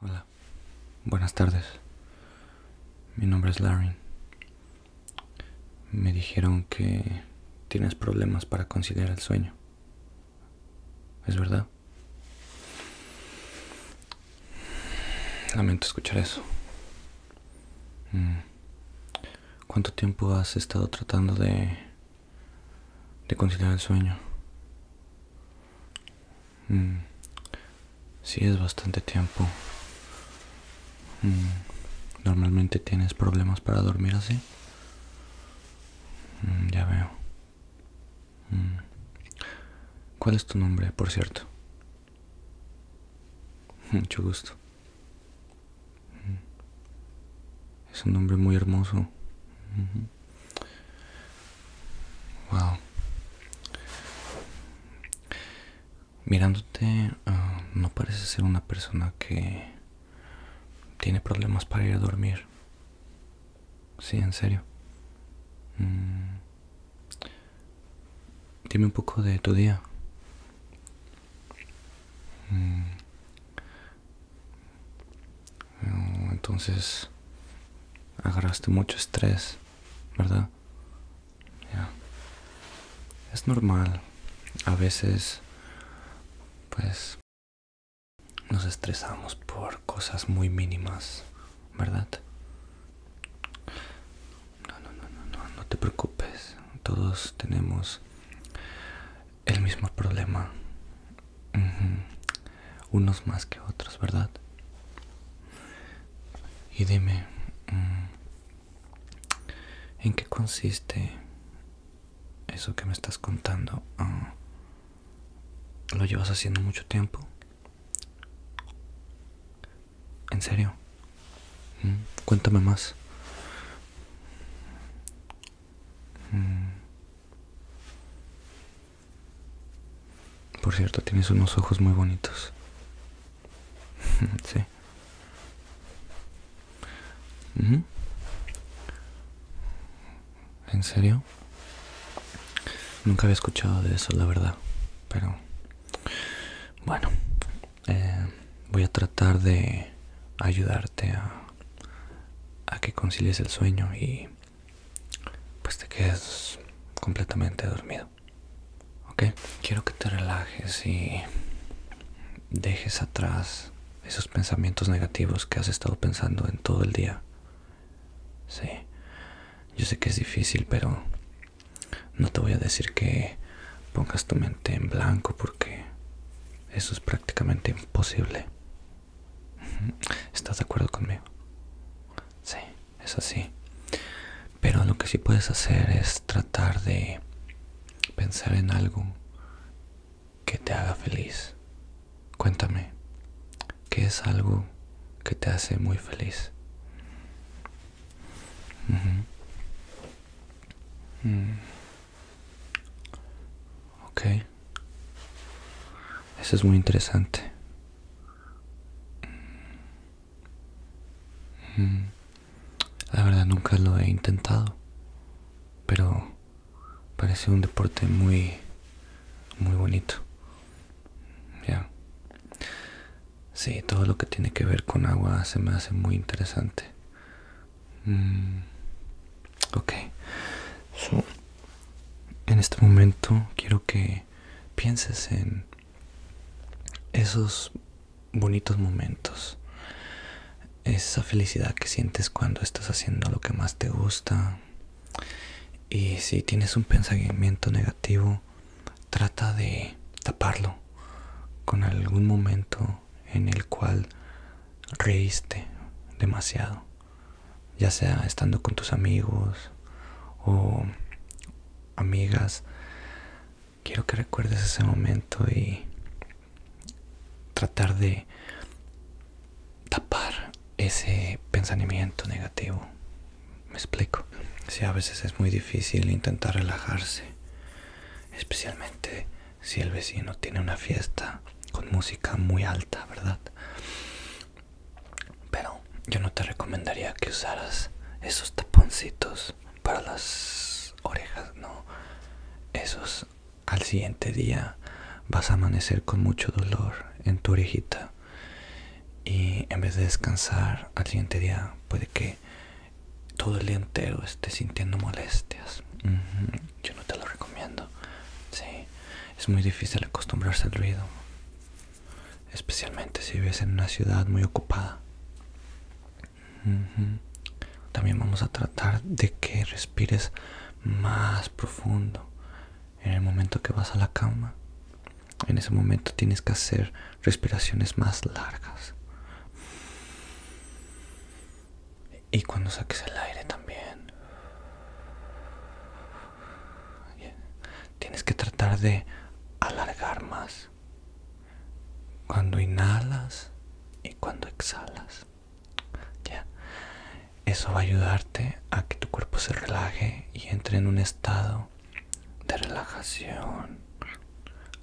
Hola, buenas tardes. Mi nombre es Larry. Me dijeron que tienes problemas para considerar el sueño. ¿Es verdad? Lamento escuchar eso. Mm. ¿Cuánto tiempo has estado tratando de, de conciliar el sueño? Si mm. Sí, es bastante tiempo. Mm. ¿Normalmente tienes problemas para dormir así? Mm, ya veo. ¿Cuál es tu nombre, por cierto? Mucho gusto. Es un nombre muy hermoso. Wow. Mirándote, ah, no parece ser una persona que tiene problemas para ir a dormir. Sí, en serio. Mm. Dime un poco de tu día. Mm. Entonces, agarraste mucho estrés, ¿verdad? Es normal. A veces, pues, nos estresamos por cosas muy mínimas, ¿verdad? No, no, no, no, no, te preocupes. Todos tenemos el mismo problema unos más que otros, ¿verdad? Y dime, mm, ¿en qué consiste eso que me estás contando? Ah, ¿Lo llevas haciendo mucho tiempo? ¿En serio? Mm, cuéntame más. Mm. Por cierto, tienes unos ojos muy bonitos. sí. ¿En serio? Nunca había escuchado de eso, la verdad. Pero bueno, eh, voy a tratar de ayudarte a, a que concilies el sueño y pues te quedes completamente dormido. Ok, quiero que te relajes y dejes atrás esos pensamientos negativos que has estado pensando en todo el día. Sí, yo sé que es difícil, pero no te voy a decir que pongas tu mente en blanco porque eso es prácticamente imposible. ¿Estás de acuerdo conmigo? Sí es así. Pero lo que sí puedes hacer es tratar de pensar en algo que te haga feliz. Cuéntame, ¿qué es algo que te hace muy feliz? Mm. Ok. Eso es muy interesante. La verdad nunca lo he intentado, pero parece un deporte muy, muy bonito. Ya. todo lo que tiene que ver con agua se me hace muy interesante. Mm, ok. en este momento quiero que pienses en esos bonitos momentos, esa felicidad que sientes cuando estás haciendo lo que más te gusta. Y si tienes un pensamiento negativo, trata de taparlo con algún momento en el cual reíste demasiado ya sea estando con tus amigos o amigas, quiero que recuerdes ese momento y tratar de tapar ese pensamiento negativo. Me explico. Si a veces es muy difícil intentar relajarse, especialmente si el vecino tiene una fiesta con música muy alta, ¿verdad? Pero yo no te recomendaría que usaras esos taponcitos para las orejas, no. Esos al siguiente día vas a amanecer con mucho dolor en tu orejita. Y en vez de descansar al siguiente día puede que todo el día entero esté sintiendo molestias. Yo no te lo recomiendo. Sí, es muy difícil acostumbrarse al ruido especialmente si vives en una ciudad muy ocupada. También vamos a tratar de que respires más profundo en el momento que vas a la cama. En ese momento tienes que hacer respiraciones más largas. Y cuando saques el aire también tienes que tratar de alargar más cuando inhalas y cuando exhalas. Ya. Eso va a ayudarte a que tu cuerpo se relaje y entre en un estado de relajación.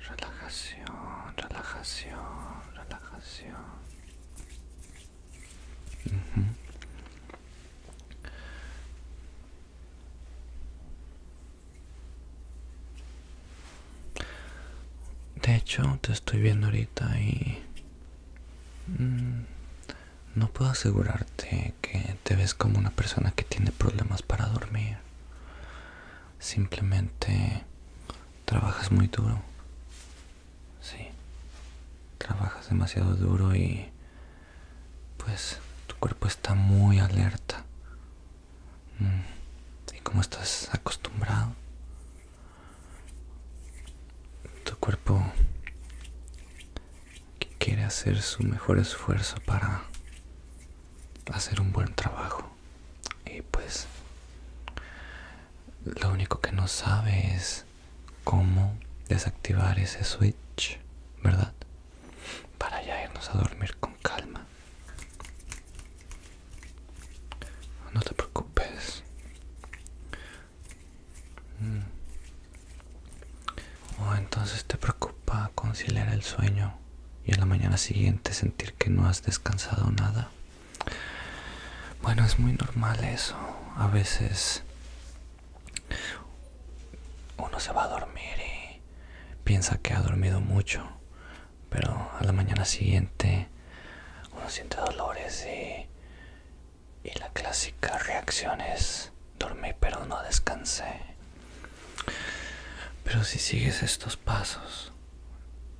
Relajación, relajación, relajación. De hecho, te estoy viendo ahorita y... Mm, no puedo asegurarte que te ves como una persona que tiene problemas para dormir. Simplemente trabajas muy duro. Sí. Trabajas demasiado duro y pues tu cuerpo está muy alerta. Mm, y como estás acostumbrado, tu cuerpo quiere hacer su mejor esfuerzo para hacer un buen trabajo. Y pues lo único que no sabe es cómo desactivar ese switch, ¿verdad? Para ya irnos a dormir con calma. No te preocupes. Mm. O oh, entonces te preocupa conciliar el sueño y a la mañana siguiente sentir que no has descansado nada. Bueno, es muy normal eso. A veces uno se va a dormir y piensa que ha dormido mucho, pero a la mañana siguiente uno siente dolores y, y la clásica reacción es dormí pero no descansé. Pero si sigues estos pasos,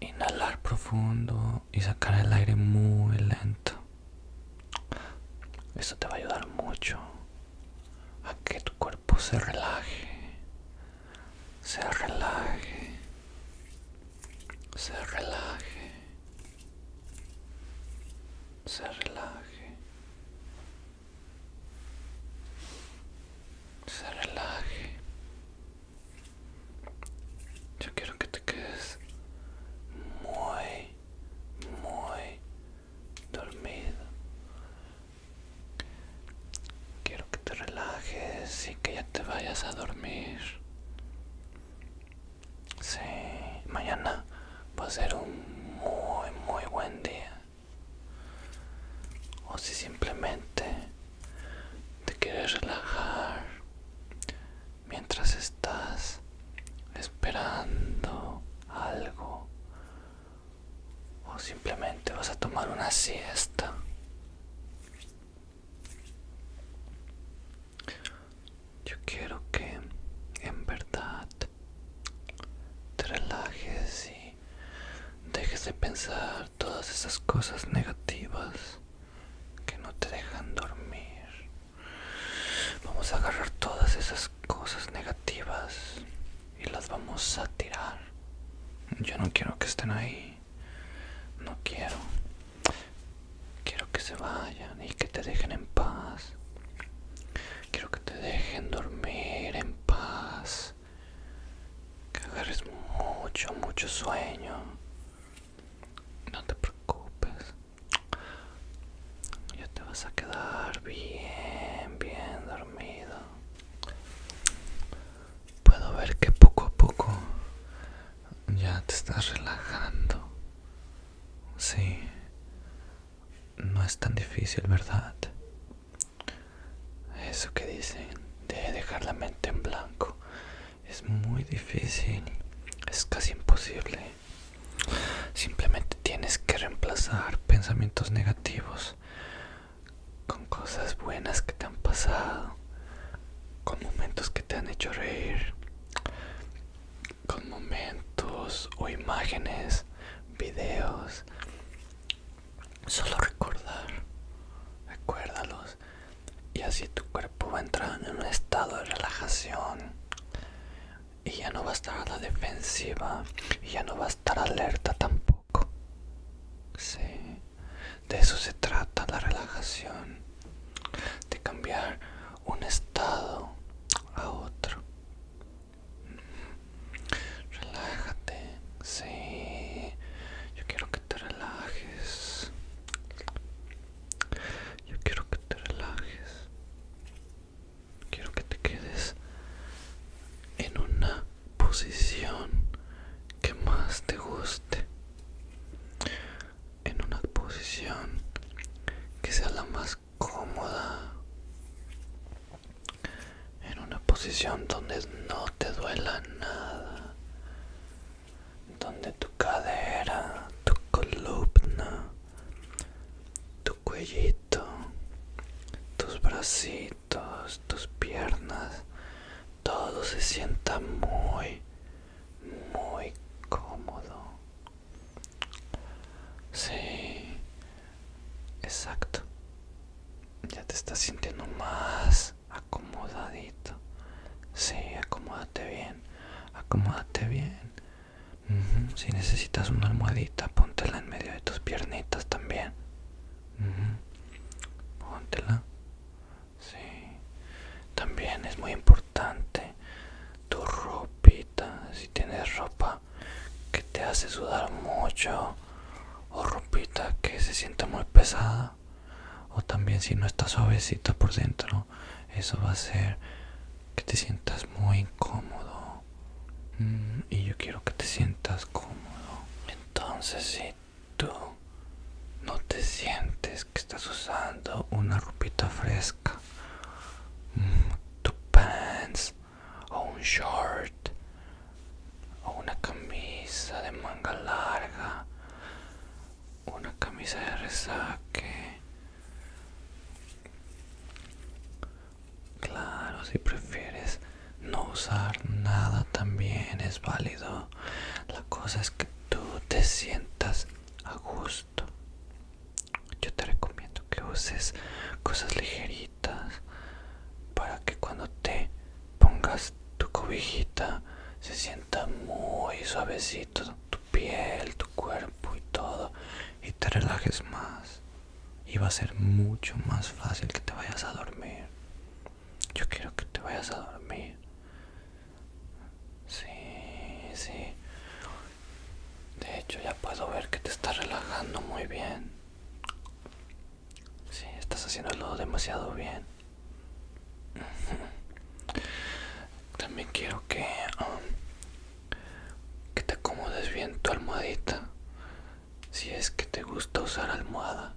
inhalar profundo y sacar el aire muy lento. Eso te va a ayudar mucho a que tu cuerpo se relaje, se relaje, se relaje, se relaje, se relaje. Yo quiero que te quedes muy, muy, dormido quiero que te relajes y que ya te vayas a dormir Si, mañana va a ser un muy muy buen día o si simplemente te quieres relajar mientras estás esperando algo o simplemente vas a tomar una siesta yo quiero que en verdad te relajes y dejes de pensar todas esas cosas negativas que no te dejan dormir Vamos a agarrar todas esas cosas negativas y las vamos a tirar. Yo no quiero que estén ahí. No quiero. Quiero que se vayan y que te dejen en paz. Quiero que te dejen dormir en paz. Que agarres mucho, mucho sueño. No te preocupes. Ya te vas a quedar bien, bien dormido. Puedo ver que poco a poco ya te estás relajando. Sí. No es tan difícil, ¿verdad? Eso que dicen de dejar la mente en blanco es muy difícil. Es casi imposible. Simplemente tienes que reemplazar pensamientos negativos con cosas buenas que te han pasado, con momentos que te han hecho reír, con momentos o imágenes, videos. Solo recordar, recuérdalos y así tu cuerpo va a entrar en un estado de relajación y ya no va a estar a la defensiva y ya no va a estar alerta tampoco. Sí, de eso se trata la relajación, de cambiar un estado a otro. Relájate, sí, yo quiero que te relajes. Yo quiero que te relajes quiero que te quedes en una posición que más te guste en una posición que sea la más cómoda en una posición donde no te duela nada donde tu cadera tu columna tu cuellito, tus bracitos, tus piernas, todo se sienta muy, muy cómodo. Sí, exacto. Ya te estás sintiendo más acomodadito. Sí, acomódate bien, acomódate bien. Si necesitas una almohadita, póntela en medio de tus piernitas también. Póntela. Sí. También es muy importante tu ropita. Si tienes ropa que te hace sudar mucho o ropita que se sienta muy pesada o también si no está suavecita por dentro, eso va a ser que te sientas muy incómodo mm, y yo quiero que te sientas cómodo entonces si tú no te sientes que estás usando una ropita fresca mm, tu pants o un short o una camisa de manga larga una camisa de resaque Claro, si prefieres no usar nada también es válido. La cosa es que tú te sientas a gusto. Yo te recomiendo que uses cosas ligeritas para que cuando te pongas tu cobijita se sienta muy suavecito tu piel, tu cuerpo y todo y te relajes más y va a ser mucho más fácil que te vayas a dormir. Yo quiero que te vayas a dormir. Sí, sí. De hecho ya puedo ver que te estás relajando muy bien. Sí, estás haciéndolo demasiado bien. También quiero que um, que te acomodes bien tu almohadita si es que te gusta usar almohada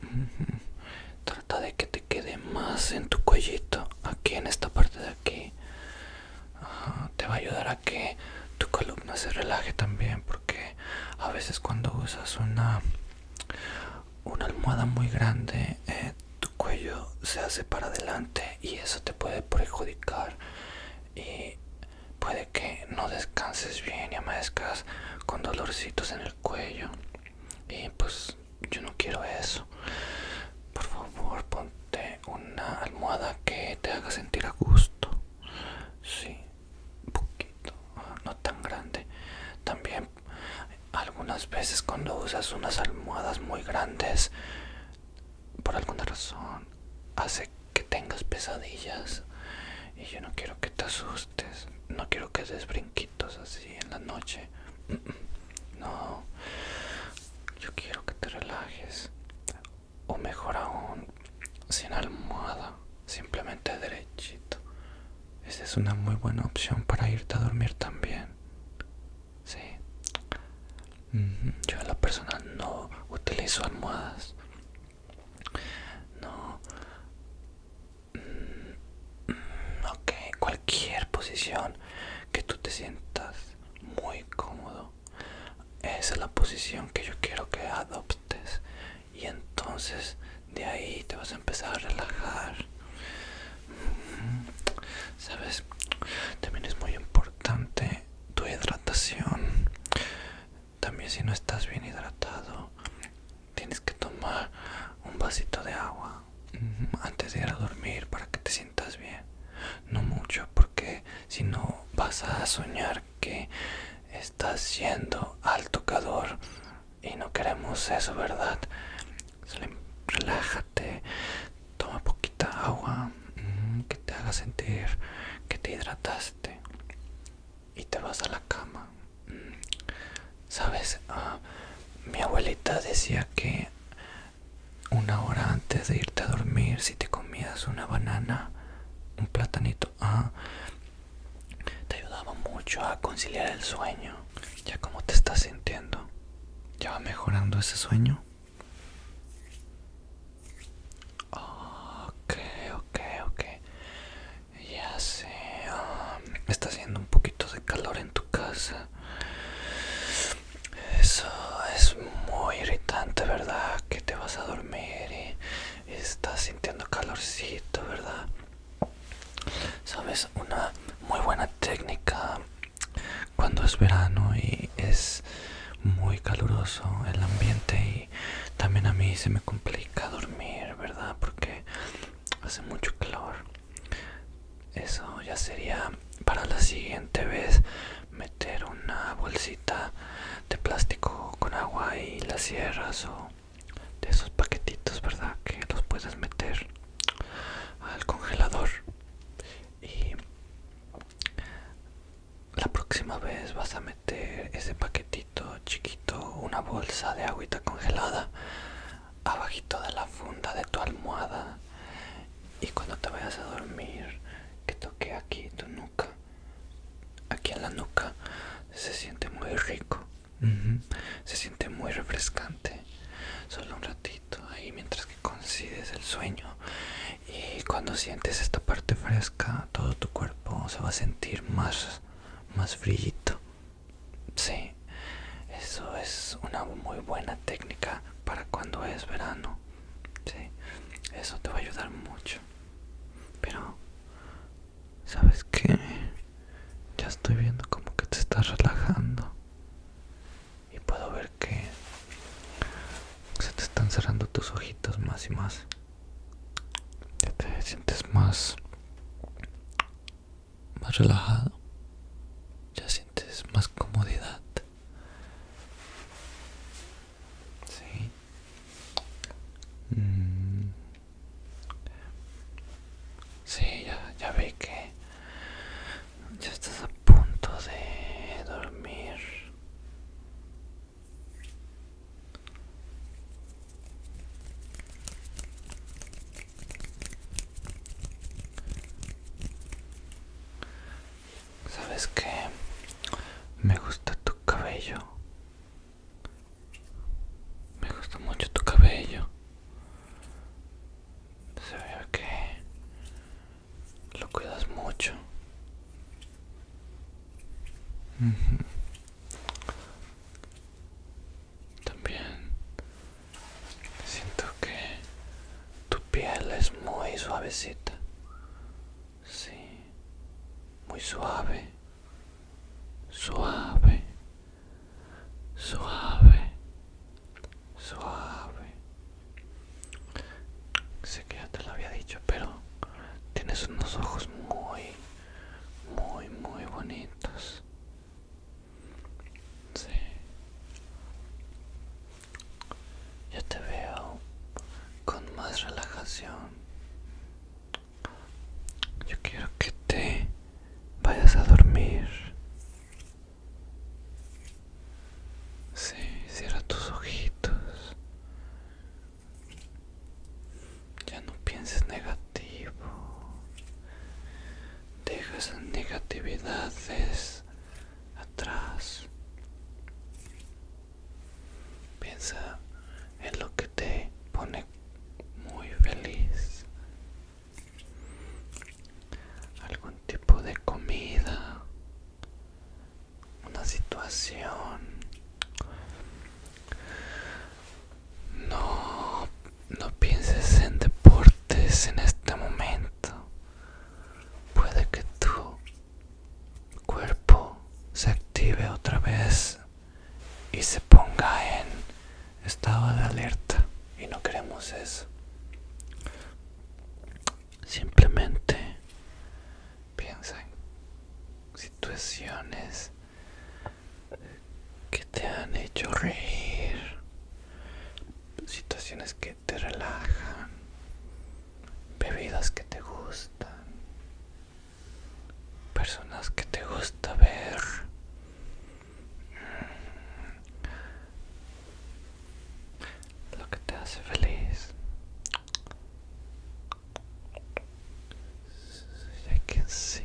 trata de que te quede más en tu cuellito aquí en esta parte de aquí te va a ayudar a que tu columna se relaje también porque a veces cuando usas una una almohada muy grande eh, tu cuello se hace para adelante y eso te puede perjudicar y puede que no descanses bien y amanezcas con dolorcitos en el cuello y pues yo no quiero eso por favor ponte una almohada que te haga sentir a gusto sí un poquito no tan grande también algunas veces cuando usas unas almohadas muy grandes por alguna razón hace que tengas pesadillas y yo no quiero que te asustes, no quiero que des brinquitos así en la noche. No, yo quiero que te relajes. O mejor aún, sin almohada, simplemente derechito. Esa es una muy buena opción para irte a dormir también. Sí. Yo en la persona, no utilizo almohadas. No. Mm, mm, ok, cualquier posición que tú te sientas muy cómodo. Esa es la posición que yo quiero que adoptes. Y entonces de ahí te vas a empezar a relajar. Sabes, también es muy importante tu hidratación también si no estás bien hidratado tienes que tomar un vasito de agua mm, antes de ir a dormir para que te sientas bien no mucho porque si no vas a soñar que estás siendo al tocador y no queremos eso verdad relájate Toma poquita agua mm, que te haga sentir que te hidrataste y te vas a la cama. Mm. Sabes, ah, mi abuelita decía que una hora antes de irte a dormir, si te comías una banana, un platanito, ah, te ayudaba mucho a conciliar el sueño. Ya como te estás sintiendo, ya va mejorando ese sueño. Ok, ok, ok. Ya sé. Um, está haciendo un poquito de calor en tu casa. Eso es muy irritante, ¿verdad? Que te vas a dormir y estás sintiendo calorcito, ¿verdad? Sabes, una muy buena técnica cuando es verano y es muy caluroso el ambiente y también a mí se me complica dormir, ¿verdad? Porque hace mucho calor. Eso ya sería para la siguiente vez meter una bolsita de plástico con agua y las sierras o de esos paquetitos, ¿verdad? Que los puedes meter al congelador. Y la próxima vez vas a meter ese paquetito chiquito, una bolsa de agüita congelada, abajito de la funda de tu almohada. Y cuando te vayas a dormir, que toque aquí tu nuca, aquí en la nuca, se siente muy rico, se siente muy refrescante. Solo un ratito ahí mientras que consigues el sueño y cuando sientes esta parte fresca todo tu cuerpo se va a sentir más más frillito sí eso es una muy buena técnica para cuando es verano sí eso te va a ayudar mucho pero sabes qué ya estoy viendo como que te estás relajando y puedo ver que se te están cerrando tus ojitos más y más ya te sientes más más relajado ya sientes más comodidad si mm. sí ya, ya ve que ya estás a punto de dormir Sabes que me gusta tu cabello. Me gusta mucho tu cabello. Se ve que lo cuidas mucho. También siento que tu piel es muy suavecita. Sí, muy suave. Suave. Suave. Suave. Sé que ya te lo había dicho, pero tienes unos ojos muy, muy, muy bonitos. Sí. Yo te veo con más relajación. Yo quiero que te vayas a dormir. Sí, cierra tus ojitos. Ya no pienses negativo. Deja esas negatividades atrás. Piensa en lo que te pone muy feliz. Algún tipo de comida, una situación no no pienses en deportes en este momento puede que tu cuerpo se active otra vez y se ponga en estado de alerta y no queremos eso simplemente Piensa en situaciones que te han hecho reír, situaciones que te relajan, bebidas que te gustan, personas que te gusta ver. Lo que te hace feliz ya que sí,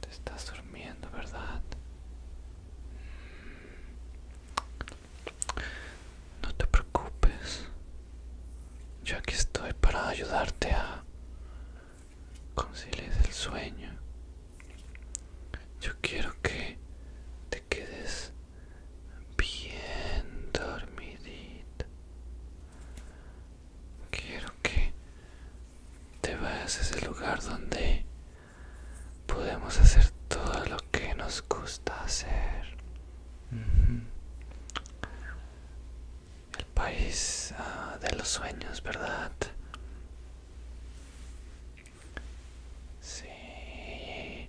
Te estás durmiendo, ¿verdad? Mm. No te preocupes. Yo aquí estoy para ayudarte a conciliar el sueño. Yo quiero que te quedes bien dormidito. Quiero que te vayas a ese lugar donde podemos hacer todo lo que nos gusta hacer. El país ah, de los sueños, ¿verdad? Sí,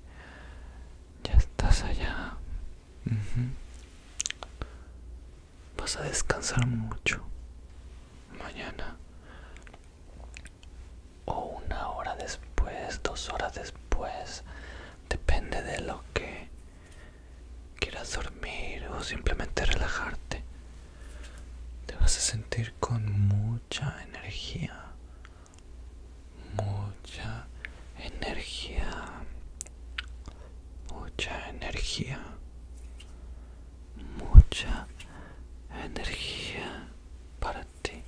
ya estás allá. Vas a descansar mucho mañana o una hora después, dos horas después, depende de lo que quieras dormir o simplemente relajarte. Te vas a sentir con mucha energía, mucha energía mucha energía mucha energía para ti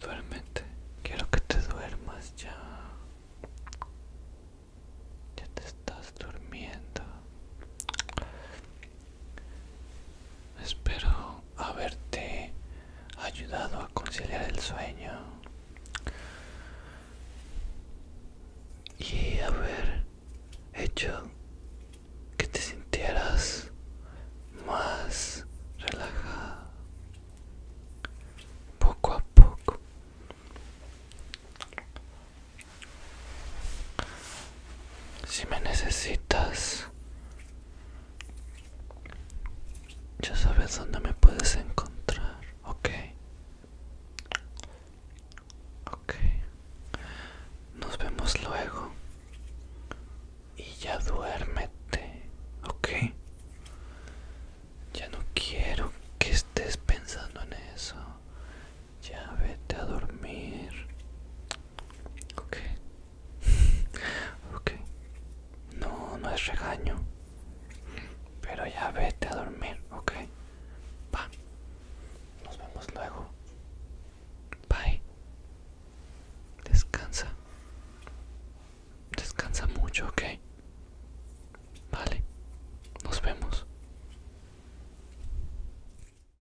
duérmete quiero que te duermas ya ya te estás durmiendo Espero haberte ayudado a conciliar el sueño y haber hecho que te sintieras más relajada poco a poco si me necesitas, ya sabes dónde me puedes encontrar, ¿ok? Ok. Nos vemos luego. Y ya duérmete, ¿ok? Ya no quiero que estés pensando en eso. Ya vete a dormir. Ok. ok. No, no es regaño. Pero ya vete a dormir, ok. Va. Nos vemos luego. Bye. Descansa. Descansa mucho, ok. Vale. Nos vemos.